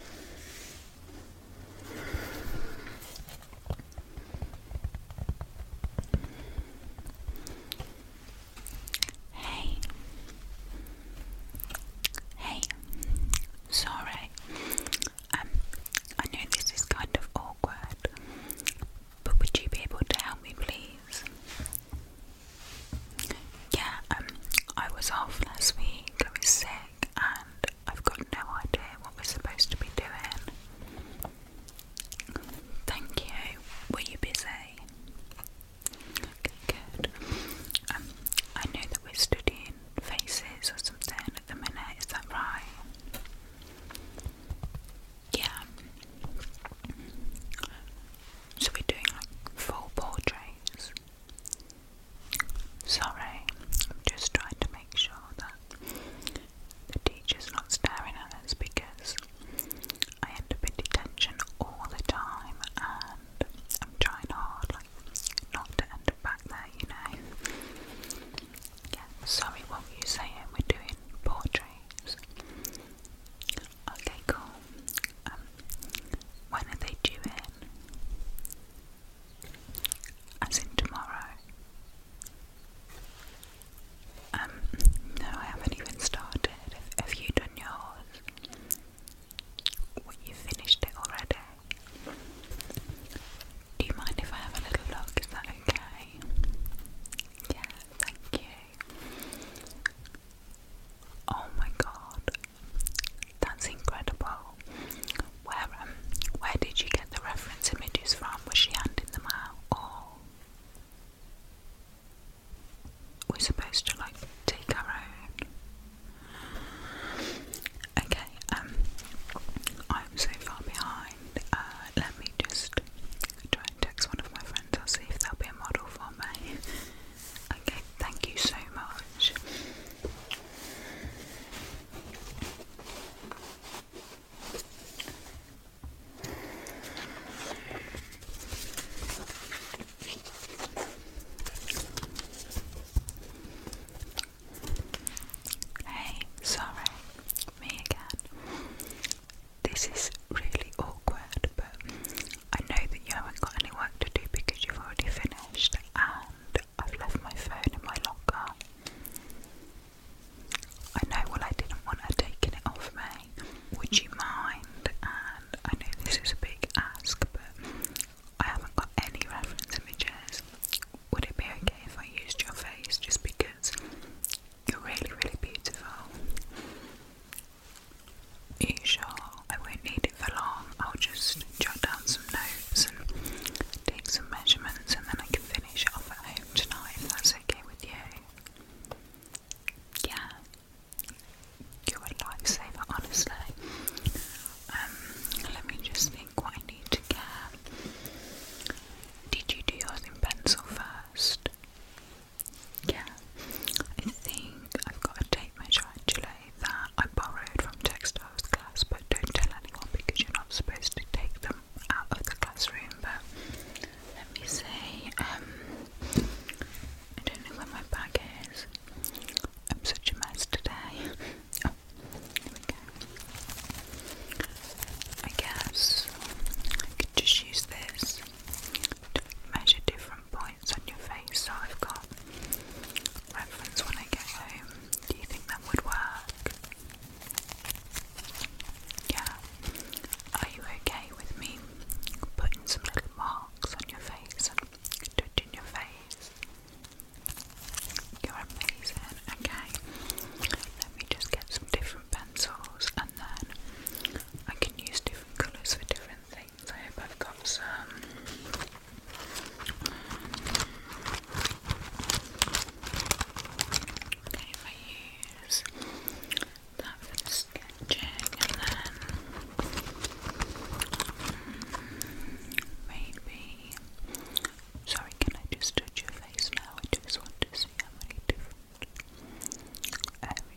Hey, hey, sorry. Um, I know this is kind of awkward, but would you be able to help me, please? Yeah, um, I was off last week. I was sick and I've got no idea what we're supposed to be doing. Thank you. Were you busy? Okay, good. Um, I know that we're studying faces or something at the minute, is that right? Yeah. So we're doing like full portraits. Sorry, I'm just trying to make sure that the teacher's not staring at us because I end up in detention all the time and I'm trying hard like not to end up back there, you know. Yeah, sorry, what were you saying? We're doing portraits. Okay, cool. Um, when are they due in? As in tomorrow? Um, no, I haven't even started. Have, you done yours? What, you finished it already? Do you mind if I have a little look? Is that okay? Yeah, thank you. Oh my god, that's incredible. Where um, where did you get the reference images from? Was she handing them out, or we supposed to like take our own? Okay, um, I'm so far behind. Uh, let me just try and text one of my friends. I'll see if they'll be a model for me. Okay, thank you so much. Hey, sorry, me again. This is really awkward, but I know that you haven't got any work to do because you've already finished, and I've left my phone in my locker. I know, well, I didn't want her taking it off me. Would you mind? And I know this is a big ask, but I haven't got any reference images. Would it be okay if I used your face just because you're really, really beautiful? Asia, I won't need it for long. I'll just jot down some notes and take some measurements, and then I can finish off at home tonight if that's okay with you. Yeah, you're a lifesaver, honestly. Um, let me just think what I need to get. Did you do yours in pencil first? Yeah, I think I've got a tape measure actually that I borrowed from textiles class, but don't tell anyone because you're not supposed to take them out of the classroom. But let me see. Um, I don't know where my bag is. I'm such a mess today. Oh, here we go. I guess I could just use this measure different points on your face. So I've got reference when I get home. Do you think that would work? Yeah. Are you okay with me putting some little marks on your face and touching your face? You're amazing. Okay. Let me just get some different pencils and then I can use different colours for different things. I hope I've got some. Okay, I use that for the sketching and then mm, maybe. Sorry, can I just touch your face now? I just want to see how many different. Um,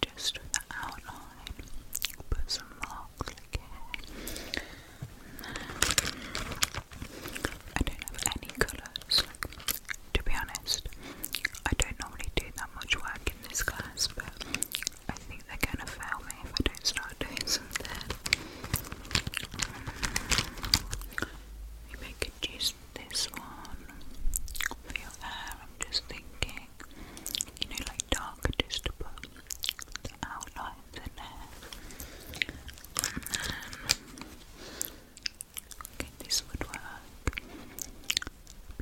just for the outline. Put some marks like I don't have any colours. To be honest, I don't normally do that much work in this class, but I think they're gonna fail me if I don't start doing something. Just this one for your hair. I'm just thinking, you know, like dark, just to put the outlines in there. okay, this would work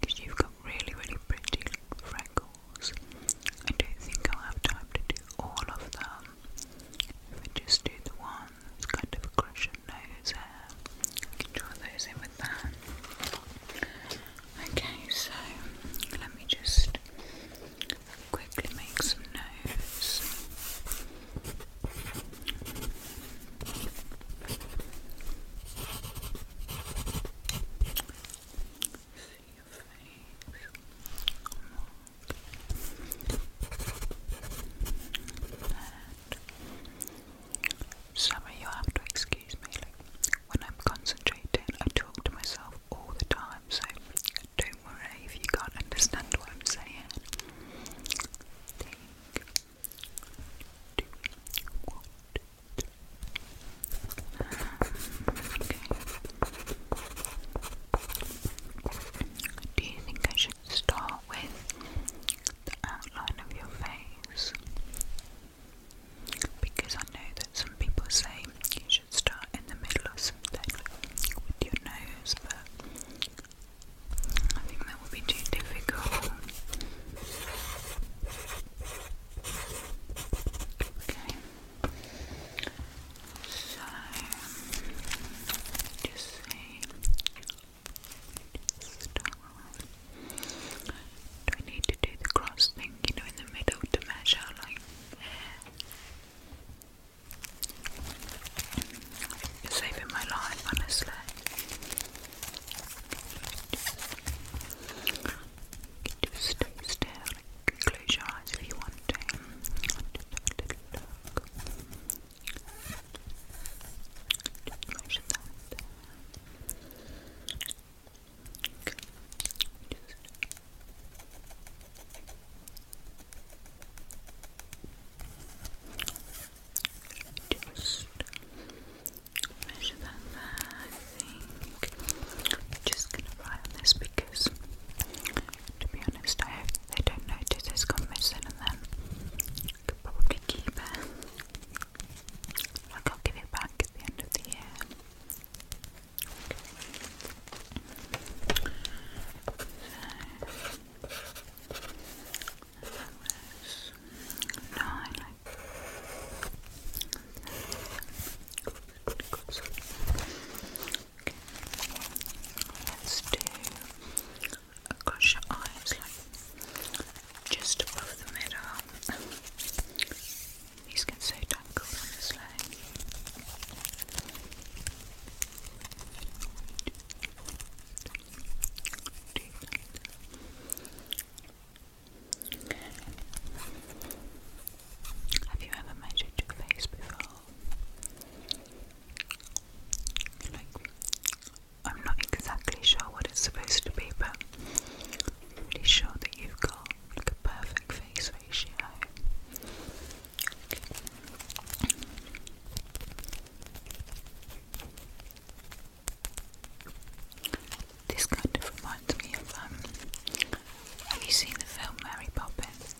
because you've got really, really pretty freckles. I don't think I'll have time to do all of them. If I just do the ones kind of crushing nose You uh, can draw those in with that. Okay, so let me just quickly make some nose. See your face. Sorry, you have to excuse me. Like, when I'm concentrating, I talk to myself all the time, so don't worry if you can't understand what I'm saying. Do you think I should Start with the outline of your face because I know that some people say you should start in the middle of something with your nose, but I think that would be too difficult. Okay, so just see Star. Do I need to do the cross thing, you know, in the middle to measure, our line. saving my life, honestly. Just stay close your eyes if you want to. Just measure that. Just, measure that there. just gonna write this because, to be honest, they don't notice it's gone missing and then could probably keep it. Like I'll give it back at the end of the year. So, that across your eyes, like just above the middle. These get so tangled, honestly. Have you ever measured your face before? I'm not exactly sure what it's supposed to be, but I'm pretty sure that you've got like a perfect face ratio. This kind of reminds me of um, have you seen the film Mary Poppins?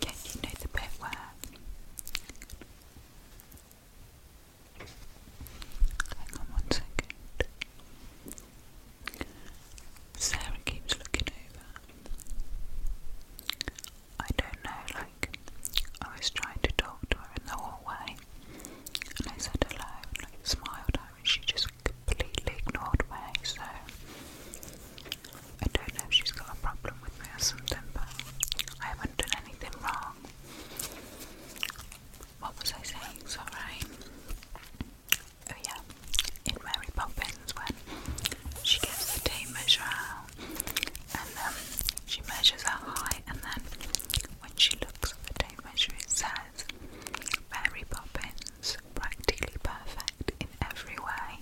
Yeah, you know the bit where Hang on one second. Sarah keeps looking over. I don't know, like, I was trying to talk to her in the hallway, and I said hello, and like, smiled at her, and she just completely ignored me, so I don't know if she's got a problem with me or something, but I haven't done anything wrong. What was I saying? Sorry. Oh, yeah. In Mary Poppins, when she gets the tape measure out and um, she measures her height, and then when she looks at the tape measure, it says Mary Poppins practically perfect in every way.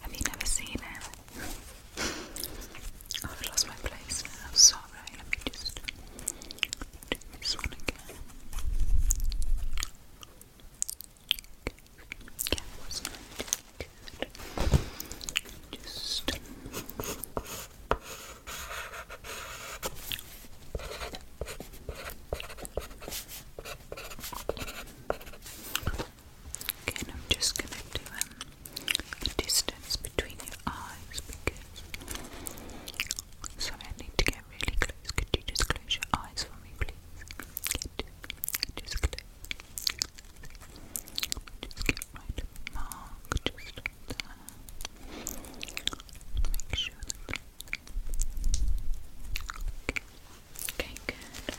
Have you never seen him? Oh, I've lost my place. am sorry. Let me just do this one again. Just. Okay, I'm just going to do the um, distance between your eyes because. Sorry, I need to get really close. Could you just close your eyes for me, please? Just close. Just get right of the mark, just Make sure Okay, good.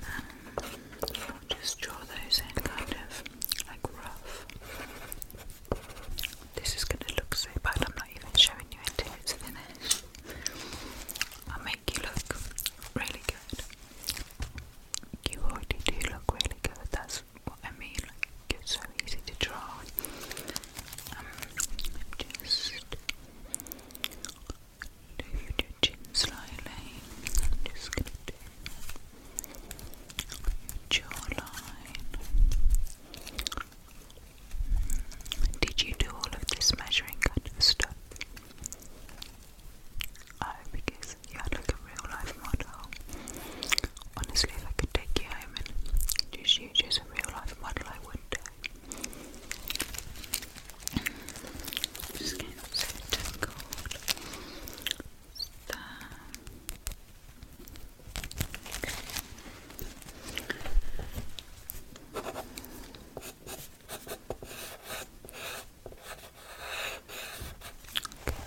Um, just draw those in kind of like rough. This is going to look so bad, I'm not even showing you until it's finished. i make you look really good. You already do look really good, that's what I mean. Like, it's so easy to draw. I'm just going to do your jawline. Did you do all of this measuring kind of stuff? Oh, because you had like a real life model. Honestly, if I could take you home and just you just a real life model, I would Just getting so tangled. There. Okay,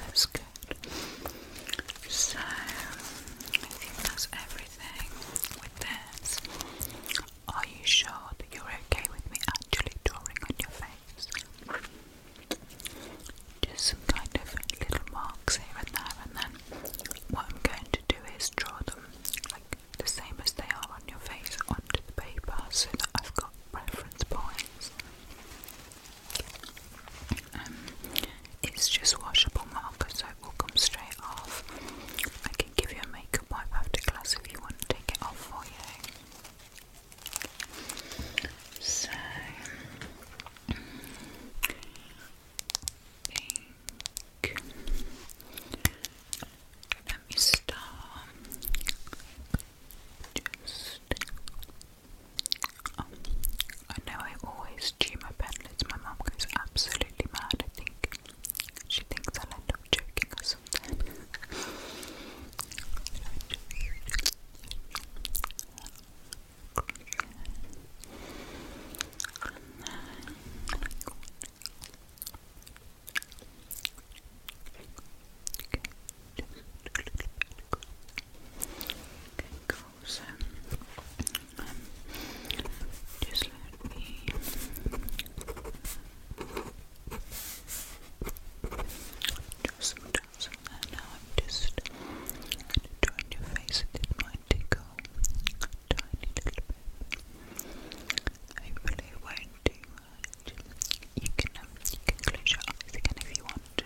that's good. So I think that's everything with this. Are you sure that you're okay with me actually drawing on your face? Just some kind of little marks here and there, and then what I'm going to do is draw them like the same as they are on your face onto the paper so that I've got reference points. Um, it's just washable marker, so it will come straight off. I can give you a makeup wipe after class if you want to take it off for you. So, Let me start. Just I know I always chew my pen lids. My mom goes absolutely mad. I think she thinks I'll end up joking or something so um, just let me do some dots on now. I'm just going your face. It might tickle tiny little bit. Hopefully, it won't do You can um, you can close your eyes again if you want to.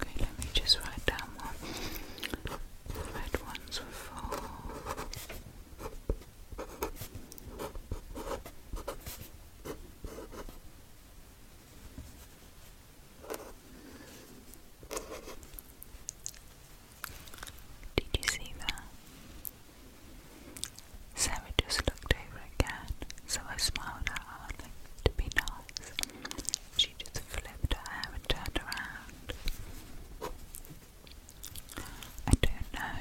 Okay, let me just write down one. red ones were four. Did you see that? Sarah just looked over again, so I smiled at her to be nice. She just flipped her hair and turned around. I don't know.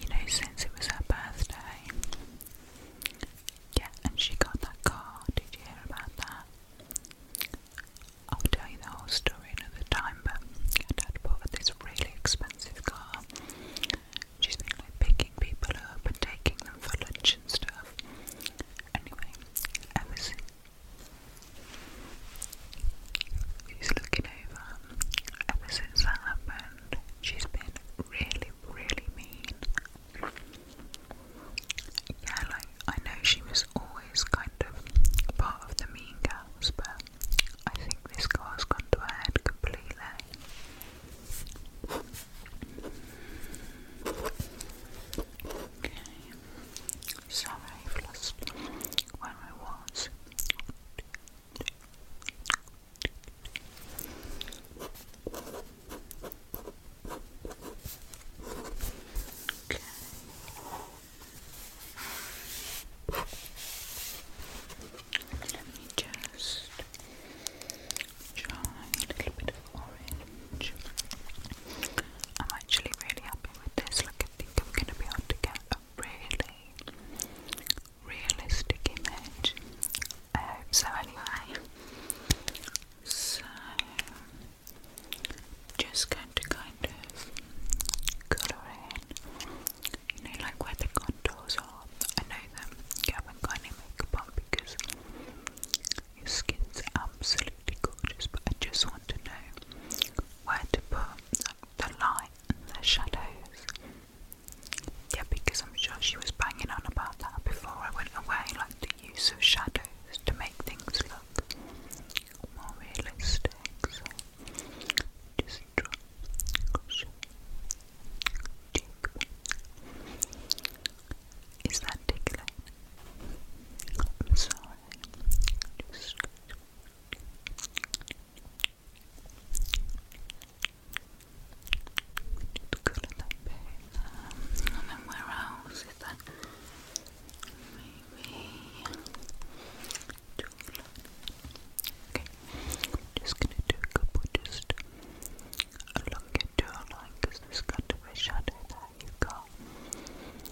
You know, since it was her birthday. Yeah, and she got that car. Did you hear about that? I'll tell you the whole story another time, but her dad bought her this really expensive car. She's been like picking people up and taking them for lunch and stuff. Anyway, ever since. looking over ever since that happened, she's been really, really mean. Yeah, like, I know she was always kind of part of the mean girls, but I think this girl's gone to her head completely. Okay, sorry, I've lost where I was. Let me just try a little bit of orange. I'm actually really happy with this. Like I think I'm gonna be able to get really realistic image. I oh, hope so, anyway. So, just going to kind of colour you know, like where the contours are. I know that you haven't got any makeup on because your skin's absolutely gorgeous, but I just want to know where to put the light the shadows. Yeah, because I'm sure she was banging on about that before I went away, like the use of shadows to make things look more realistic. So just drop Is that tickling? sorry. Just go bit. and then where else is that? Maybe. Okay. just gonna do a couple just look into your line because there's a shadow that you got.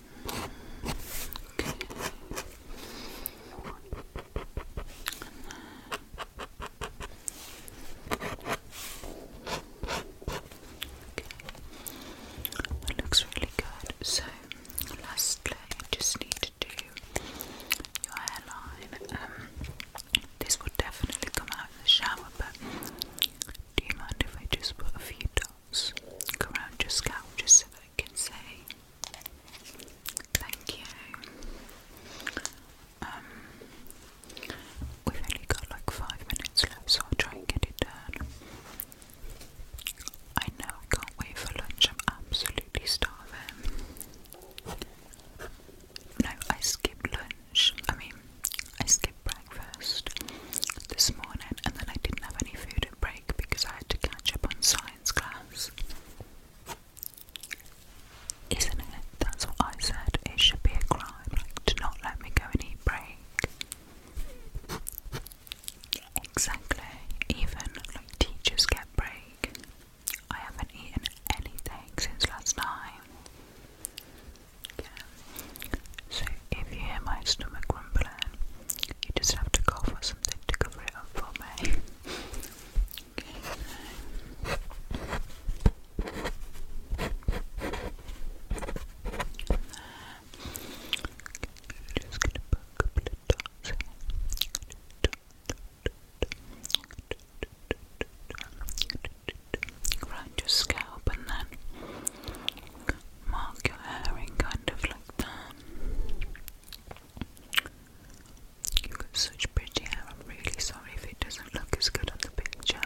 Okay. looks really good. So, lastly, just need to do your hairline. Um, this would definitely come out in the shower, but do you mind if I just put a few dots? around your scalp just so I can say thank you. Um, we've only got like five minutes left, so I'll try and get it done. I know I can't wait for lunch, I'm absolutely starving. No, I skipped lunch. I mean, I skipped breakfast this morning and then I didn't have any food break because I had to catch up on science class. Isn't it? That's what I said. It should be a crime to not let me go and break. Exactly. Even like teachers get break. I haven't eaten anything since last night. Yeah. So if you hear my stomach rumbling, you just have to go for something to cover it up for me. just a couple of dots Around your scalp and then mark your hair in kind of like that. you got such pretty hair, I'm really sorry if it doesn't look as good on the picture.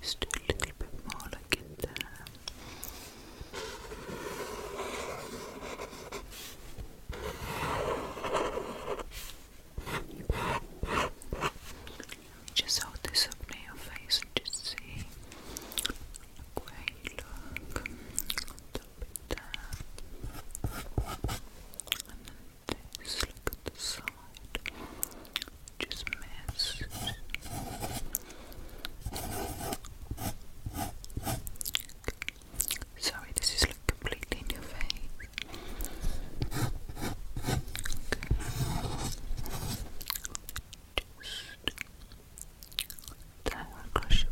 Just a little bit more like it just hold this up near your face and just see like look. A little And then this, look at the side just missed. Sorry, this is like completely in your face. Just down across your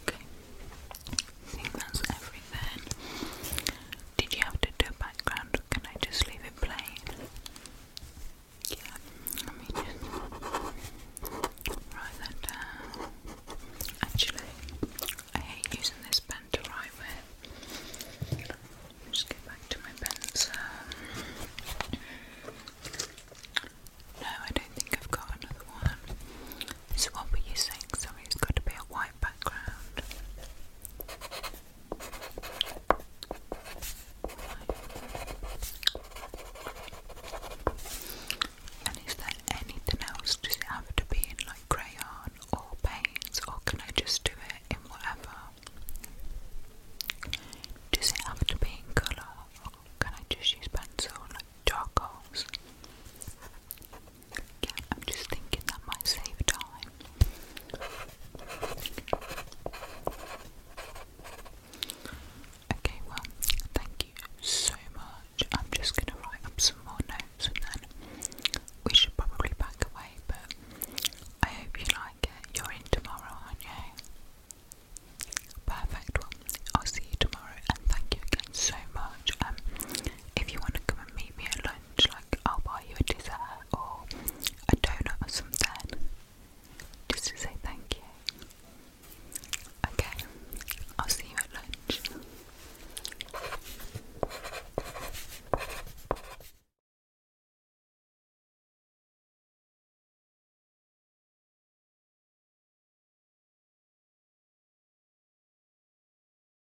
Okay. I think that's everything. Did you have to do background can I just leave it plain? Yeah, let me just write that down. Actually, I hate using this pen to write with. Just go back to my pencil. No, I don't think I've got another one. So, what were you saying? Sorry, it's got to be a white background. And is there anything else? Does it have to be in like crayon or paints, or can I just do it in whatever? Does it have to be in colour, or can I just use pencil like charcoals? Yeah, I'm just thinking that might save time. Okay, well, thank you so much. I'm just going to write up some more notes and then we should probably back away, but I hope you like it. You're in tomorrow, aren't you? Perfect. I'll see you tomorrow and thank you again so much. Um, if you want to come and meet me at like I'll buy you a dessert or a donut or something, just to say thank you. Okay, I'll see you at lunch.